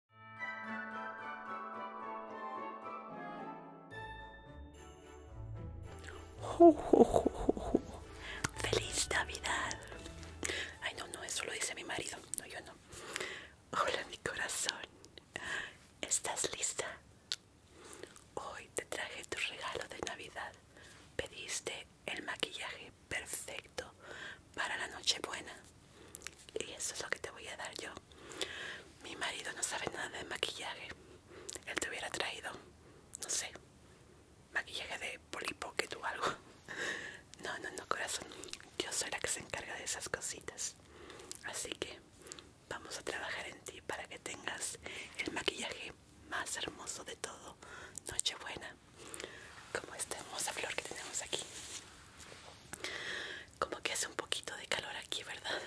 ¡Feliz Navidad! Ay, no, no, eso lo dice mi marido. No, yo no. Hola, mi corazón. ¿Estás lista? Hoy te traje tu regalo de Navidad. Pediste el maquillaje perfecto para la Nochebuena y eso es lo que te voy a dar yo. Mi marido no sabe nada de maquillaje. Él te hubiera traído, no sé, maquillaje de polipocket o algo. No, no, no, corazón. Yo soy la que se encarga de esas cositas. Así que vamos a trabajar en ti para que tengas el maquillaje más hermoso de todo. Nochebuena. Como esta hermosa flor que tenemos aquí. Como que hace un poquito de calor aquí, ¿verdad?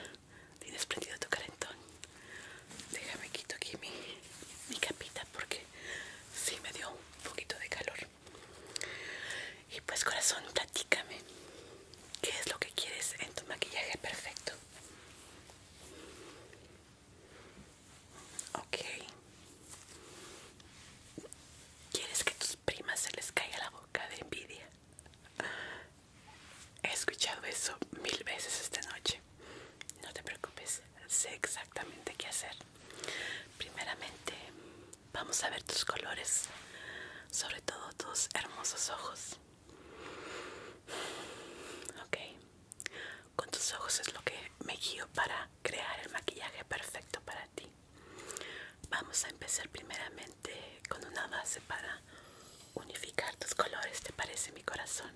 Tienes prendido tu calentón. Déjame quito aquí mi, mi capita porque sí me dio un poquito de calor. Y pues corazón, platícame. ¿Qué es lo que quieres en tu maquillaje perfecto? Ok. ¿Quieres que tus primas se les caiga la boca de envidia? He escuchado eso mil veces esta noche. No te preocupes, sé exactamente qué hacer. Primeramente, vamos a ver tus colores, sobre todo tus hermosos ojos. Ok, con tus ojos es lo que me guío para crear el maquillaje perfecto para ti. Vamos a empezar primeramente con una base para unificar tus colores, ¿te parece mi corazón?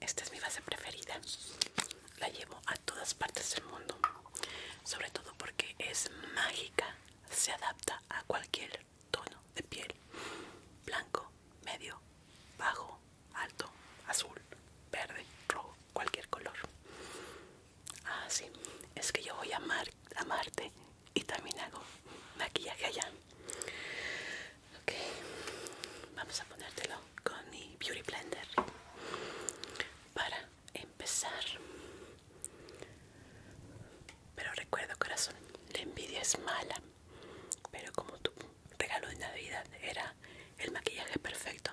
Esta es mi base preferida. La llevo a todas partes del mundo, sobre todo porque es mágica, se adapta a cualquier tono de piel, blanco, medio, bajo, alto, azul, verde, rojo, cualquier color. Ah, sí, es que yo voy a amarte y también hago maquillaje allá. vamos a ponértelo con mi Beauty Blender para empezar. Pero recuerdo, corazón, la envidia es mala. Pero como tu regalo de Navidad era el maquillaje perfecto,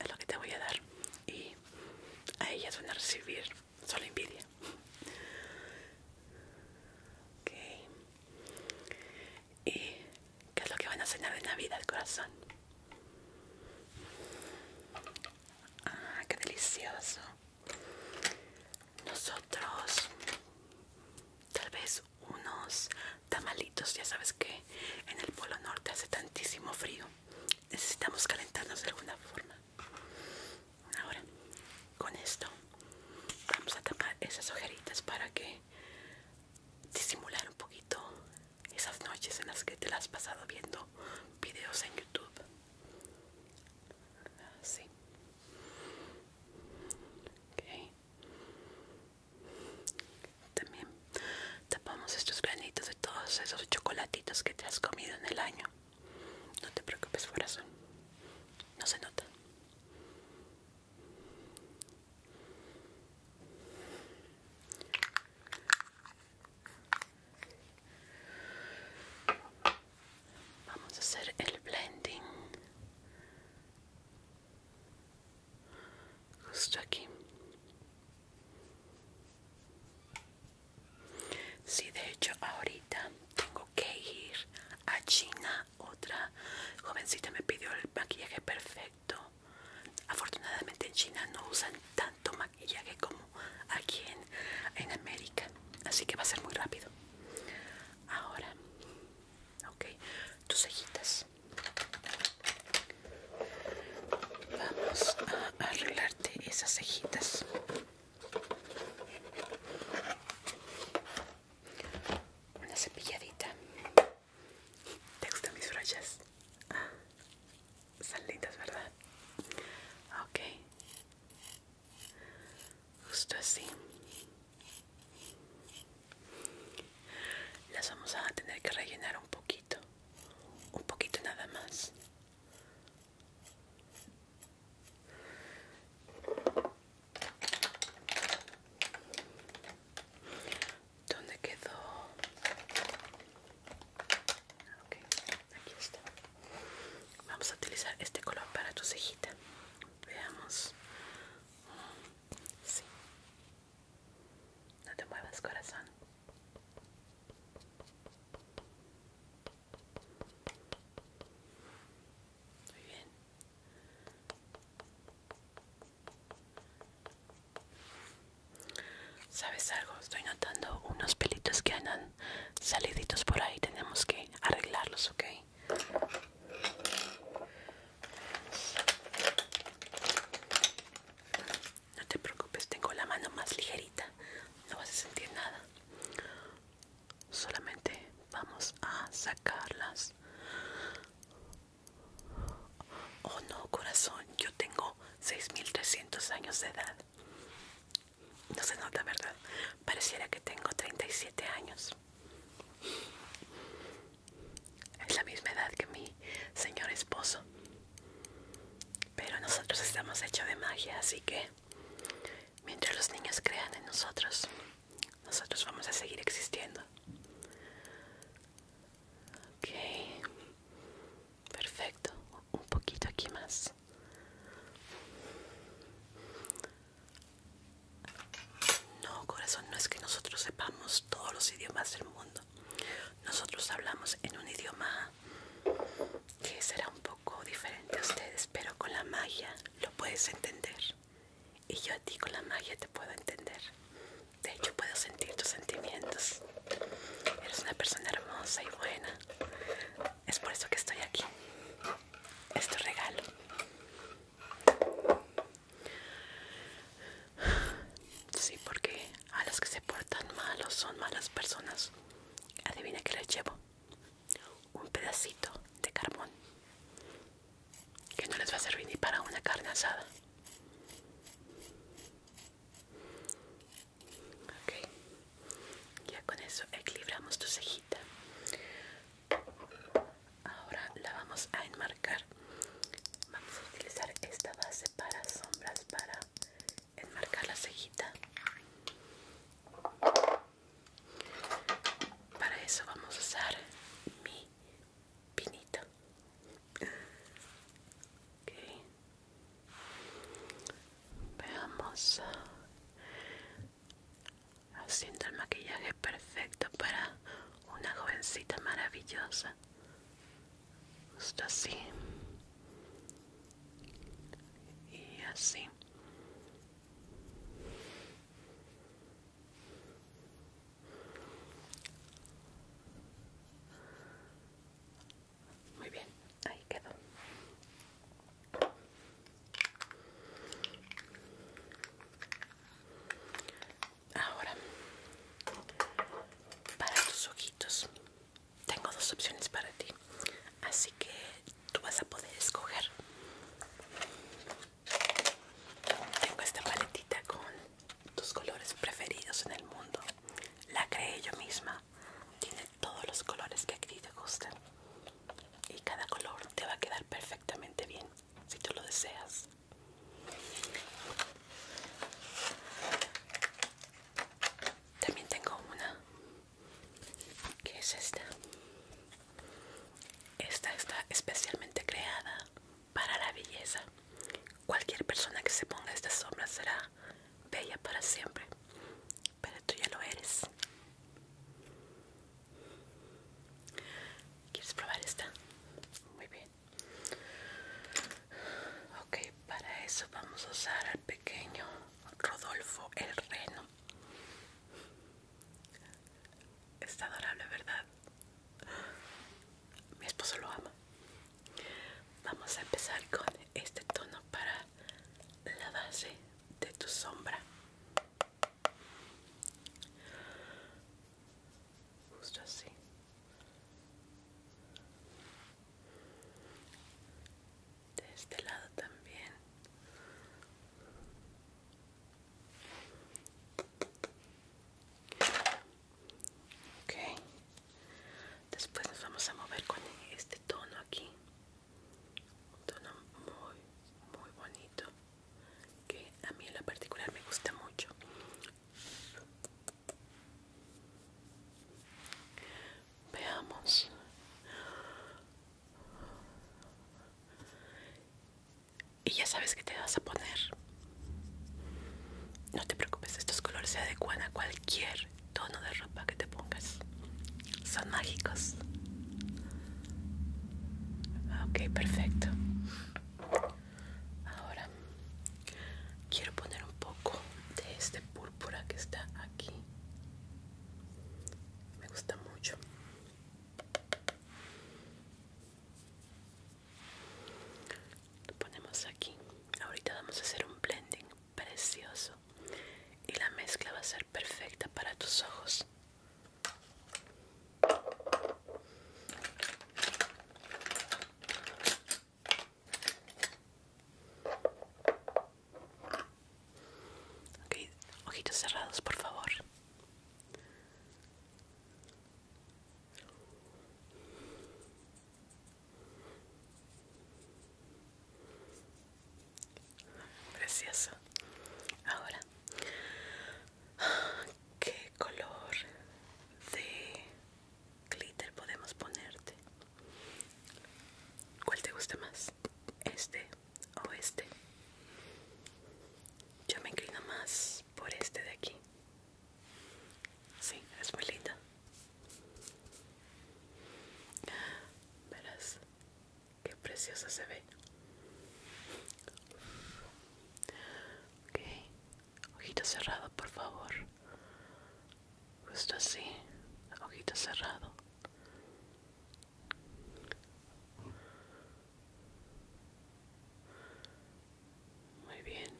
es lo que te voy a dar y a ellas van a recibir solo envidia ok y qué es lo que van a cenar de navidad corazón ah qué delicioso nosotros tal vez unos tamalitos. Ya sabes que en el Polo Norte hace tantísimo frío. Necesitamos calentarnos de alguna forma. Ahora, con esto vamos a tapar esas ojeritas para que disimular un poquito esas noches en las que te las has pasado viendo videos en YouTube. Así. Okay. También tapamos estos granitos de todos esos chocolatitos que te has comido en el año. No te preocupes, corazón. No se nota. Vamos a hacer el blending justo aquí sí, de hecho ahorita tengo que ir a China otra jovencita me pidió el maquillaje perfecto afortunadamente en China no usan tanto maquillaje como aquí en, en América así que va a ser muy rápido ahora ok tus cejitas Vamos a arreglarte esas cejitas. Una cepilladita. ¿Te gustan mis brochas? Ah, lindas, ¿verdad? Ok. Justo así las vamos a tener que rellenar un poquito un poquito nada más ¿Dónde quedó? Okay, aquí está. Vamos a utilizar este color para tu cejita. Veamos. Sí. No te muevas, corazón. Muy bien. ¿Sabes algo? Estoy notando unos pelitos que andan saliditos por ahí. Tenemos que arreglarlos, ¿ok? No te preocupes, tengo la mano más ligerita. No vas a sentir nada. Solamente vamos a sacarlas. Oh no, corazón, yo tengo 6300 años de edad. No se nota, ¿verdad? Pareciera que tengo 37 años. Es la misma edad que mi señor esposo. Pero nosotros estamos hechos de magia, así que mientras los niños crean en nosotros, nosotros vamos a seguir existiendo. Ok, perfecto. Un poquito aquí más. No, corazón, no es que nosotros sepamos todos los idiomas del mundo. Nosotros hablamos en un idioma que será un poco diferente a ustedes, pero con la magia lo puedes entender. Y yo a ti con la magia te puedo entender. De hecho, puedo sentir tus sentimientos. Eres una persona hermosa y buena. Es por eso que estoy aquí. Es tu regalo. Sí, porque a las que se portan mal son malas personas, adivina que les llevo un pedacito de carbón que no les va a servir ni para una carne asada. Okay. Ya con eso equilibramos tu cejita ahora la vamos a enmarcar vamos a utilizar esta base para sombras para enmarcar la cejita para eso vamos a usar mi pinito ok veamos haciendo el maquillaje perfecto para una jovencita maravillosa, justo así y así. Muy bien, ahí quedó. Ahora, para tus ojitos, tengo dos opciones para ti. Así que tú vas a poder escoger. Tengo esta paletita con tus colores preferidos en el mundo. La creé yo misma. Tiene todos los colores que a ti te gustan. Y cada color te va a quedar perfectamente bien si tú lo deseas. También tengo una que es esta. Esta está especialmente creada para la belleza. Cualquier persona que se ponga esta sombra será bella para siempre. Pero tú ya lo eres. ¿Quieres probar esta? Muy bien ok para eso vamos a usar al pequeño rodolfo el reno está adorable verdad mi esposo lo ama vamos a empezar con este tono para la base de tu sombra justo así de este lado también okay después nos vamos a mover con este tono aquí un tono muy muy bonito que a mí en lo particular me gusta mucho veamos y ya sabes que te vas a poner no te preocupes estos colores se adecuan a cualquier tono de ropa que te pongas son mágicos ok perfecto Ahora quiero poner un poco de este púrpura que está aquí. Me gusta mucho. Lo ponemos aquí. Ahorita vamos a hacer un blending precioso y la mezcla va a ser perfecta para tus ojos ojitos cerrados, por favor. Gracias. Ahora qué color de glitter podemos ponerte cuál te gusta más este o este yo me inclino más por este de aquí sí es muy linda verás qué preciosa se ve ok ojito cerrado por favor justo así ojito cerrado muy bien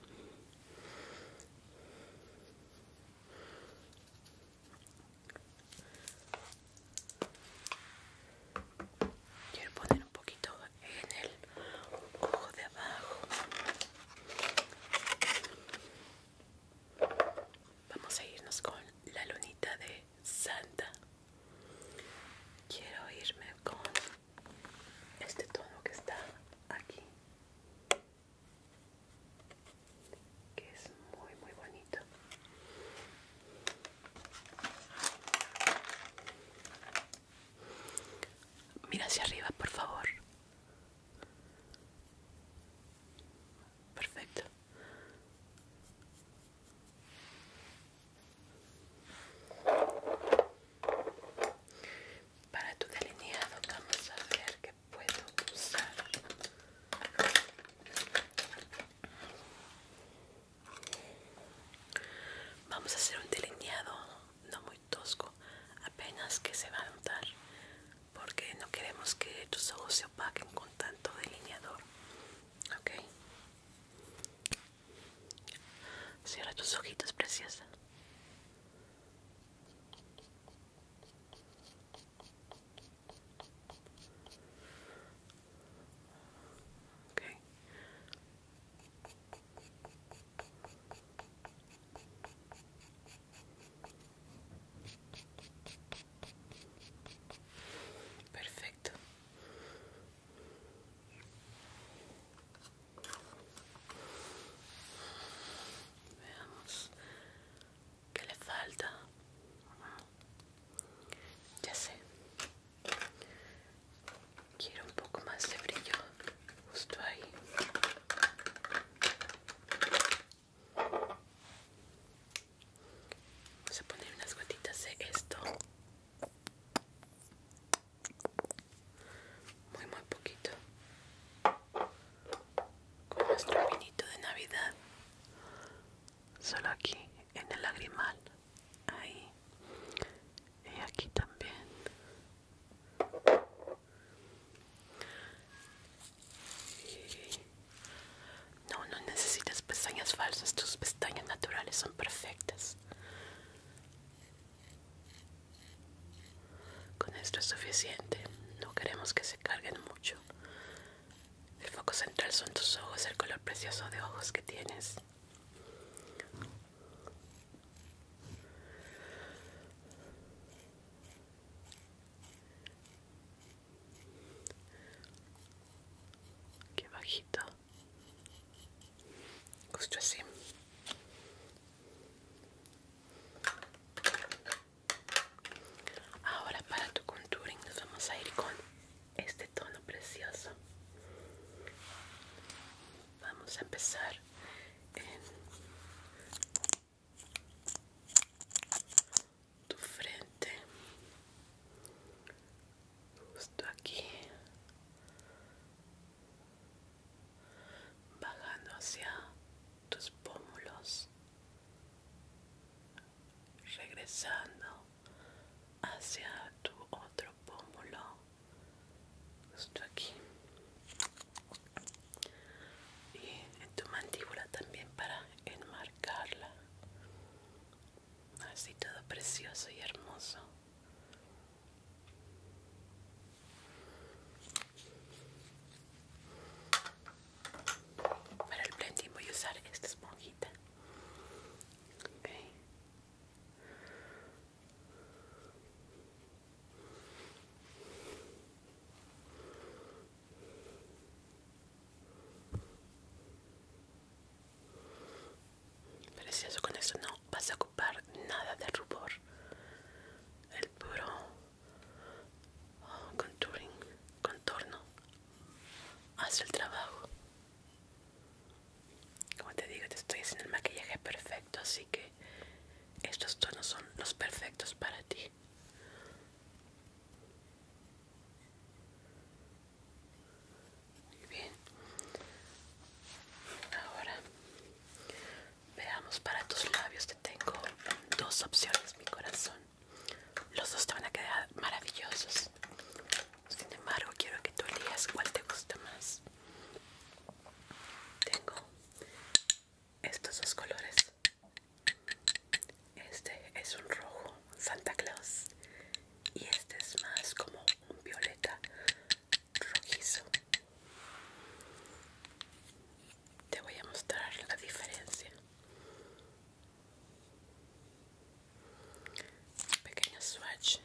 Quiero poner un poquito en el ojo de abajo. Vamos a irnos con la lunita de Santa. Quiero irme con este tono que está aquí, que es muy, muy bonito. Mira hacia arriba, por favor. Perfecto. Para tu delineado vamos a ver que puedo usar. Vamos a hacer un delineado no muy tosco, apenas que se va a notar, porque no queremos que tus ojos se opaquen con tanto delineador. Ok. Cierra tus ojitos, preciosa. Perfecto. Veamos qué le falta. Ya sé. Quiero un poco más de brillo justo ahí. Vamos a poner unas gotitas de esto. Muy, muy poquito. Con nuestro vinito de Navidad. Solo aquí en el lagrimal ahí y aquí también no no necesitas pestañas falsas tus pestañas naturales son perfectas con esto es suficiente no queremos que se carguen mucho el foco central son tus ojos, el color precioso de ojos que tienes. Qué bajito. Justo así. Ahora para tu contouring nos vamos a ir con este tono precioso vamos a empezar en tu frente justo aquí bajando hacia tus pómulos regresando hacia tu otro pómulo justo aquí y en tu mandíbula también para enmarcarla así todo precioso y hermoso para el blending voy a usar esta esponjita Precioso, con eso no vas a ocupar nada de rubor. El puro oh, contouring, contorno hace el trabajo. Como te digo, te estoy haciendo el maquillaje perfecto, así que estos tonos son los perfectos para ti. Muy bien. Ahora veamos para tus labios. Te tengo dos opciones, mi corazón. Los dos te van a quedar maravillosos. Sin embargo, quiero que tú elijas cuál te gusta más. Tengo estos dos colores. Este es un rojo Santa Claus y este es más como un violeta rojizo. Te voy a mostrar la diferencia un pequeño swatch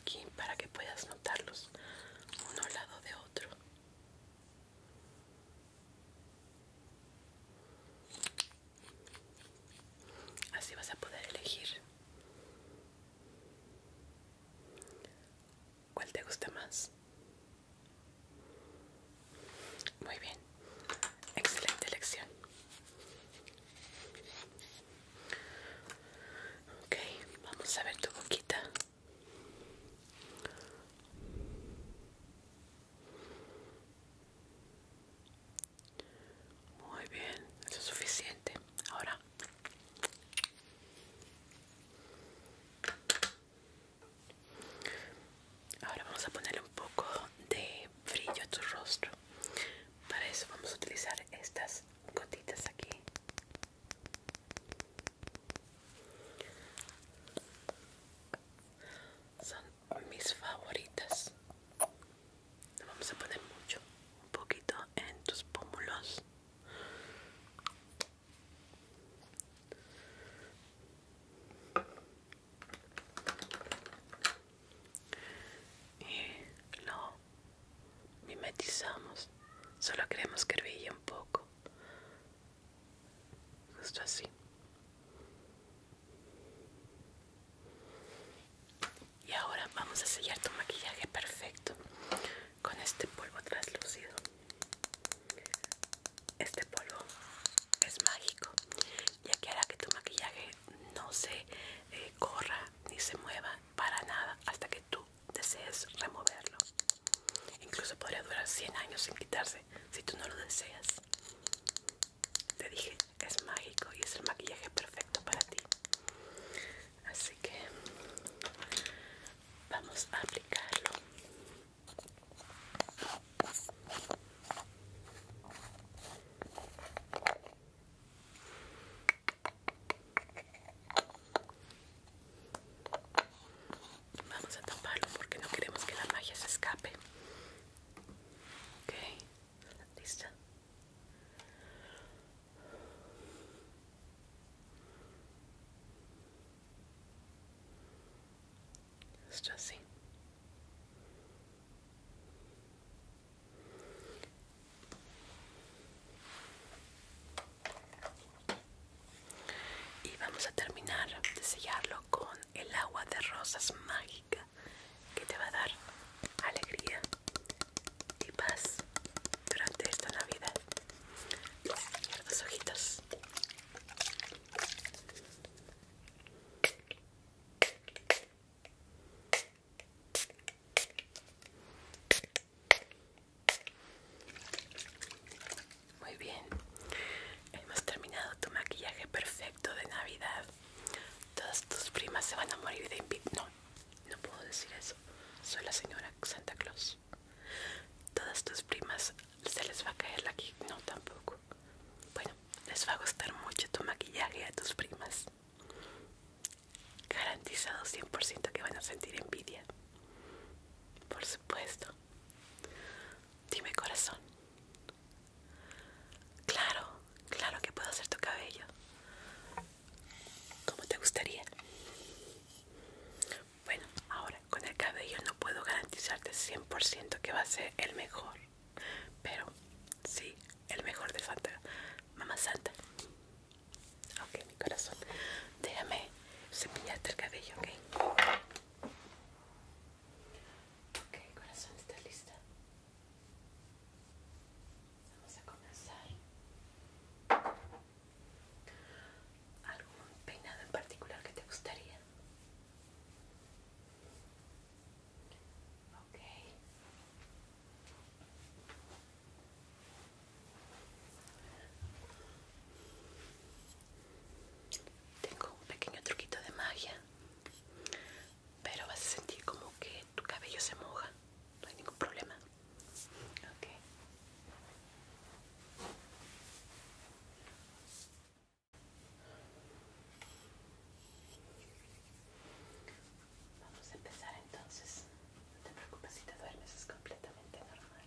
aquí para que puedas notarlos uno al lado de otro así vas a poder elegir cuál te gusta más muy bien excelente elección Okay, vamos a ver tu boquita. Muy bien, eso es suficiente. Ahora. Ahora vamos a ponerle un poco de brillo a tu rostro. Para eso vamos a utilizar estas gotitas aquí. Son mis favoritas. vamos a poner mucho, un poquito en tus pómulos y lo mimetizamos. Solo queremos que brille un poco. Justo así. Y ahora vamos a sellar tu maquillaje perfecto con este polvo traslúcido Este polvo es mágico ya que hará que tu maquillaje no se eh, corra ni se mueva para nada hasta que tú desees removerlo. Incluso podría durar 100 años sin quitarse si tú no lo deseas. Te dije, es mágico y es el maquillaje perfecto para ti. Así que vamos a aplicarlo. Vamos a taparlo porque no queremos que la magia se escape. Ok, lista. Esto así. Y vamos a terminar de sellarlo con el agua de rosas mágica que te va a dar alegría y paz durante esta Navidad. los ojitos. Muy bien, hemos terminado tu maquillaje perfecto de Navidad. Todas tus primas se van a morir de No, no puedo decir eso. Soy la señora Santa Claus. Todas tus primas se les va a caer la aquí. No, tampoco. Bueno, les va a gustar mucho tu maquillaje a tus primas. Garantizado 100% que van a sentir envidia. Por supuesto. Dime corazón. Claro, claro que puedo hacer tu cabello. ¿Cómo te gustaría? Bueno, ahora con el cabello no puedo garantizarte 100% que va a ser el mejor. Pero sí, el mejor de falta, Mamá Santa. Ok, mi corazón. Déjame cepillarte el cabello, ok. Ok, corazón, ¿estás lista? Vamos a comenzar. ¿Algún peinado en particular que te gustaría? Tengo un pequeño truquito de magia, pero vas a sentir como que tu cabello se moja, no hay ningún problema. Okay. Vamos a empezar entonces. No te preocupes si te duermes, es completamente normal.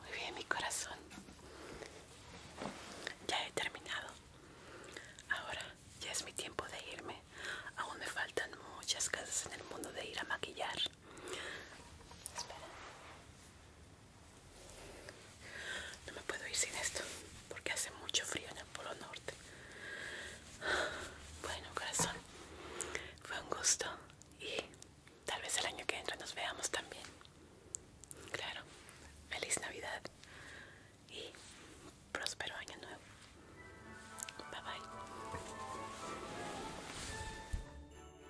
Muy bien, mi corazón. Ya he terminado. Ahora ya es mi tiempo de irme. Aún me faltan muchas cosas en el mundo de ir a maquillar. Espera. No me puedo ir sin esto porque hace mucho frío en el Polo Norte. Bueno, corazón, fue un gusto y tal vez el año que entra nos veamos también. Claro, feliz Navidad y próspero año nuevo. Bye bye.